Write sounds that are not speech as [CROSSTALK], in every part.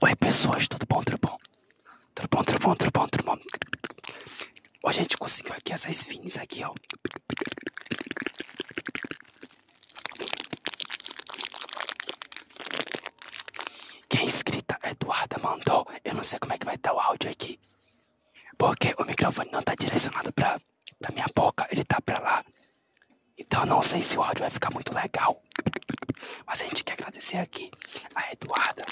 Oi pessoas, tudo bom, tudo bom? Tudo bom, tudo bom, tudo bom, tudo bom? Ó, a gente conseguiu aqui essas fins aqui, ó. Quem é inscrita, Eduardo mandou. Eu não sei como é que vai estar o áudio aqui. Porque o microfone não está direcionado pra pra minha boca, ele tá pra lá. Então eu não sei se o áudio vai ficar muito legal. Mas a gente quer agradecer aqui a Eduarda.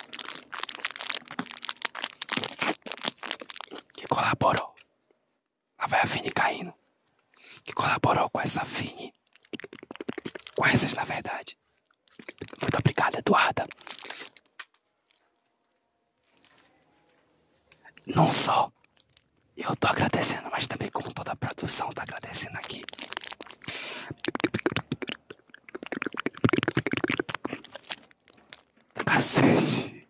Que colaborou. Lá vai a Fini caindo. Que colaborou com essa Fini. Com essas, na verdade. Muito obrigado, Eduarda. Não só eu tô agradecendo, mas também como toda a produção tá agradecendo aqui. Cacete.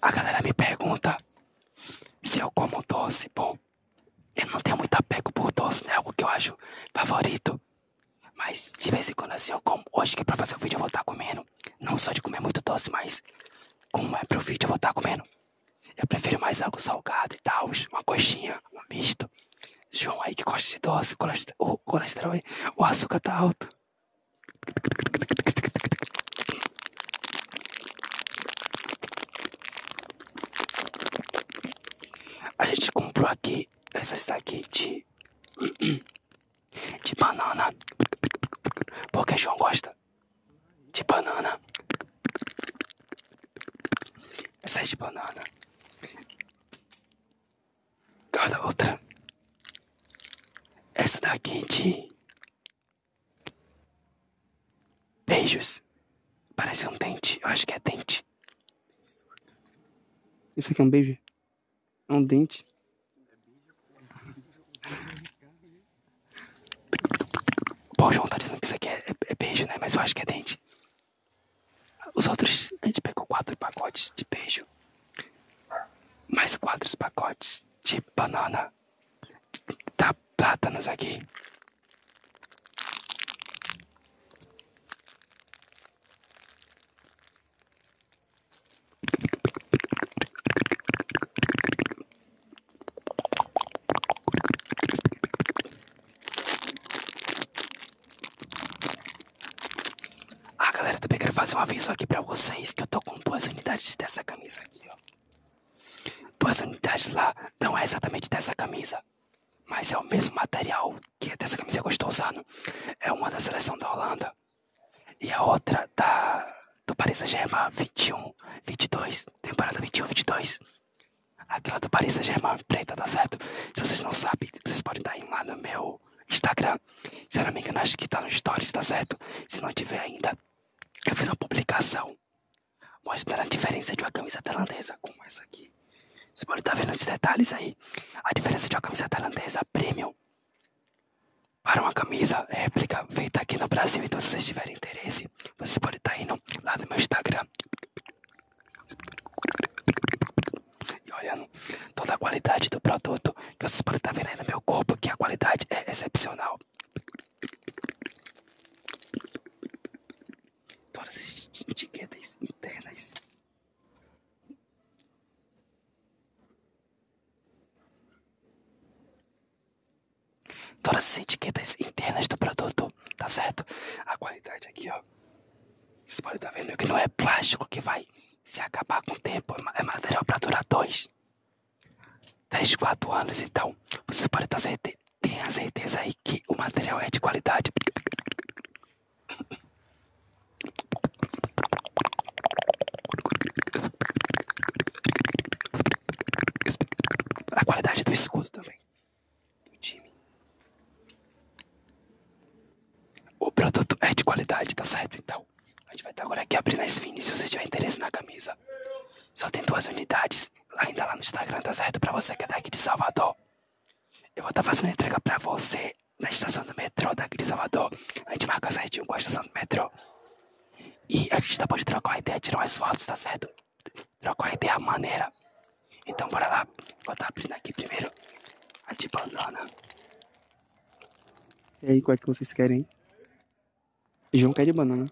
A galera me pergunta se eu como doce. Bom, eu não tenho muito apego por doce, né? É algo que eu acho favorito. Mas de vez em quando assim eu como. Hoje que é pra fazer o vídeo eu vou estar tá comendo. Não só de comer muito doce, mas como é pro vídeo eu vou estar tá comendo. Eu prefiro mais algo salgado e tal, uma coxinha, um misto. João aí que gosta de doce, o colesterol, o açúcar tá alto. A gente comprou aqui essa daqui de. [CLEARS THROAT] de banana. Porque João gosta de banana. Essa é de banana. Cada outra. Essa daqui de. Beijos. Parece um dente. Eu acho que é dente. Isso aqui é um beijo? É um dente? Bom, o João tá dizendo que isso aqui é, é, é, beijo, né? Mas eu acho que é dente. Os outros, a gente pegou quatro pacotes de beijo. Mais quatro pacotes de banana. Tá plátanos aqui. Ah, galera, também quero fazer um aviso aqui pra vocês que eu tô com duas unidades dessa camisa aqui, ó. Duas unidades lá, não é exatamente dessa camisa mas é o mesmo material que dessa camisa que eu estou usando. Né? É uma da seleção da Holanda e a outra da do Paris Saint-Germain 21, 22, temporada 21, 22. Aquela do Paris Saint-Germain preta, tá certo? Se vocês não sabem, vocês podem dar lá no meu Instagram. Se eu não me engano, acho que está no Stories, tá certo? Se não tiver ainda, eu fiz uma publicação mostrando a diferença de uma camisa tailandesa com essa aqui. Você pode estar tá vendo esses detalhes aí. A diferença de uma camisa tailandesa premium para uma camisa réplica feita aqui no Brasil. Então, se vocês tiverem interesse, vocês podem estar tá indo lá no meu Instagram. E olhando toda a qualidade do produto que vocês podem estar tá vendo aí no meu corpo, que a qualidade é excepcional todas as etiquetas internas. Todas as etiquetas internas do produto, tá certo? A qualidade aqui, ó. você pode estar tá vendo que não é plástico que vai se acabar com o tempo, é, é material para durar dois, três, quatro anos. Então, você pode estar certeza tenha certeza aí que o material é de qualidade. A qualidade do escudo também. O produto é de qualidade, tá certo? Então, a gente vai estar agora aqui abrindo a Sphinx se você tiver interesse na camisa. Só tem duas unidades ainda lá no Instagram, tá certo? Pra você que é daqui de Salvador. Eu vou estar tá fazendo entrega pra você na estação do metrô daqui de Salvador. A gente marca certinho com a estação do metrô. E a gente depois tá pode trocar uma ideia, tirar umas fotos, tá certo? Trocar uma ideia maneira. Então bora lá. Vou estar tá abrindo aqui primeiro a de bandana. E aí, qual é que vocês querem? E um pé de banana.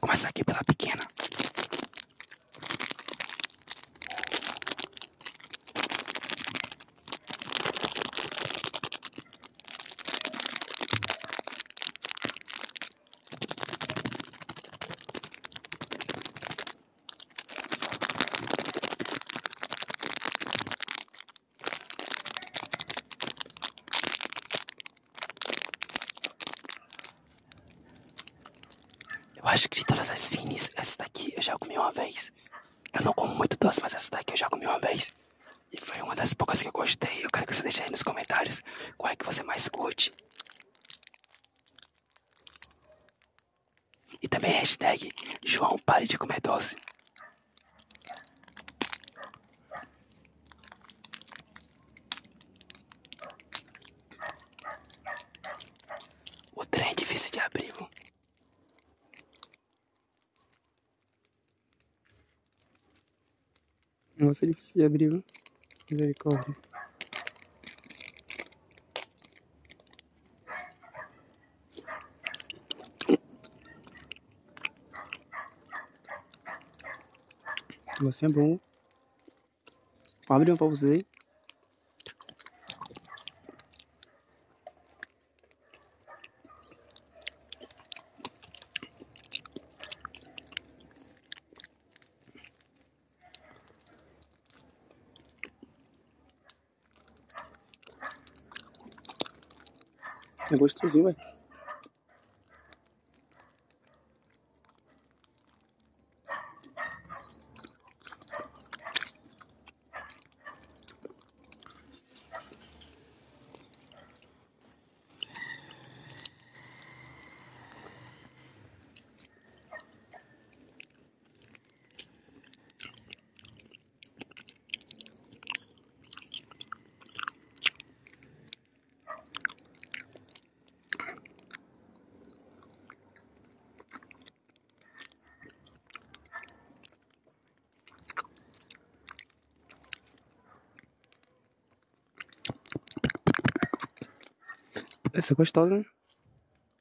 Começa aqui pela pequena. Eu acho que de todas as finis, essa daqui eu já comi uma vez. Eu não como muito doce, mas essa daqui eu já comi uma vez. E foi uma das poucas que eu gostei. Eu quero que você deixe aí nos comentários qual é que você mais curte. E também hashtag João pare de comer doce. O trem é difícil de abrir. Nossa, é difícil de abrir. Viu? Misericórdia. Você é bom. Vou abrir um pra você. É gostosinho, velho. Essa é gostosa, né?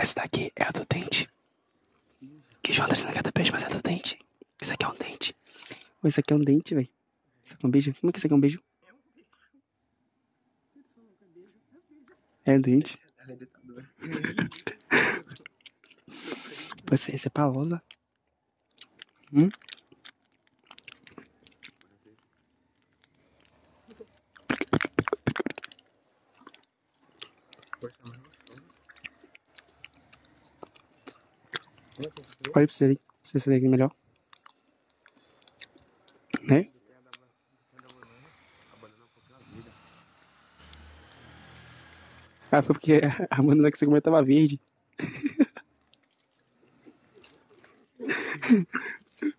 Essa daqui é a do dente. Que João André não quer beijo, mas é do dente. Isso aqui é um dente. Pô, isso aqui é um dente, velho. Isso aqui é um beijo? Como é que isso aqui é um beijo? É um dente. Ela é ditadora. Pô, esse é palola. Hum? Olha pra você ali, pra você sair melhor. Né? Ah, foi porque a banana é que você comentava verde. [LAUGHS]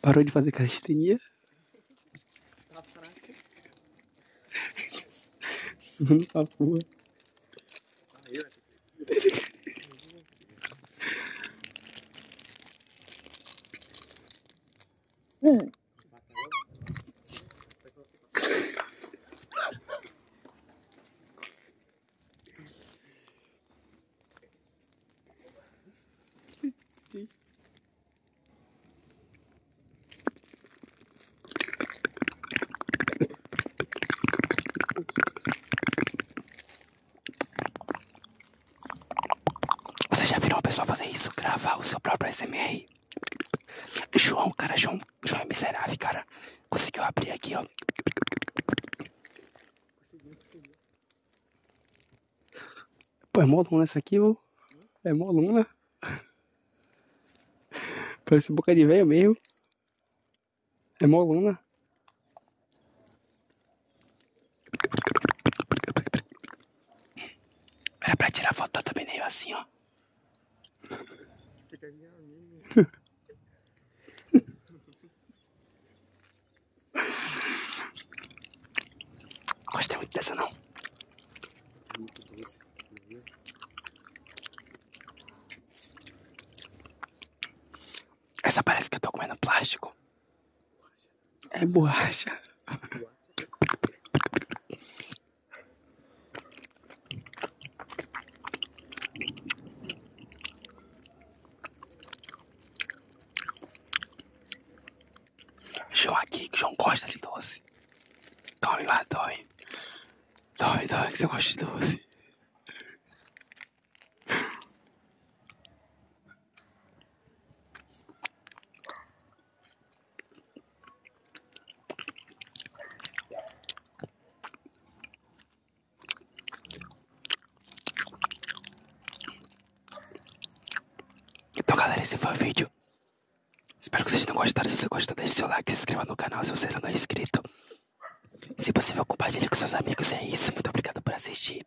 Parou de fazer calistenia? Tá fraca. Suando pra porra. Hum. Você já virou o pessoal fazer isso? Gravar o seu próprio SMR? O João, cara, João, João é miserável, cara. Conseguiu abrir aqui, ó. Pô, é moluna essa aqui, ô. É moluna Parece boca de velho mesmo. É mó luna. Era pra tirar foto também thumbnail assim, ó. [LAUGHS] Gostei muito dessa não. Essa parece que eu tô comendo plástico. É borracha. João aqui, que João gosta de doce. Dói lá, dói. Dói, dói, que você gosta de doce. Então galera, esse foi o vídeo. Espero que vocês tenham gostado. Se você gostou, deixe seu like, se inscreva no canal se você ainda não é inscrito. Se possível, compartilhe com seus amigos. É isso. Muito obrigado por assistir.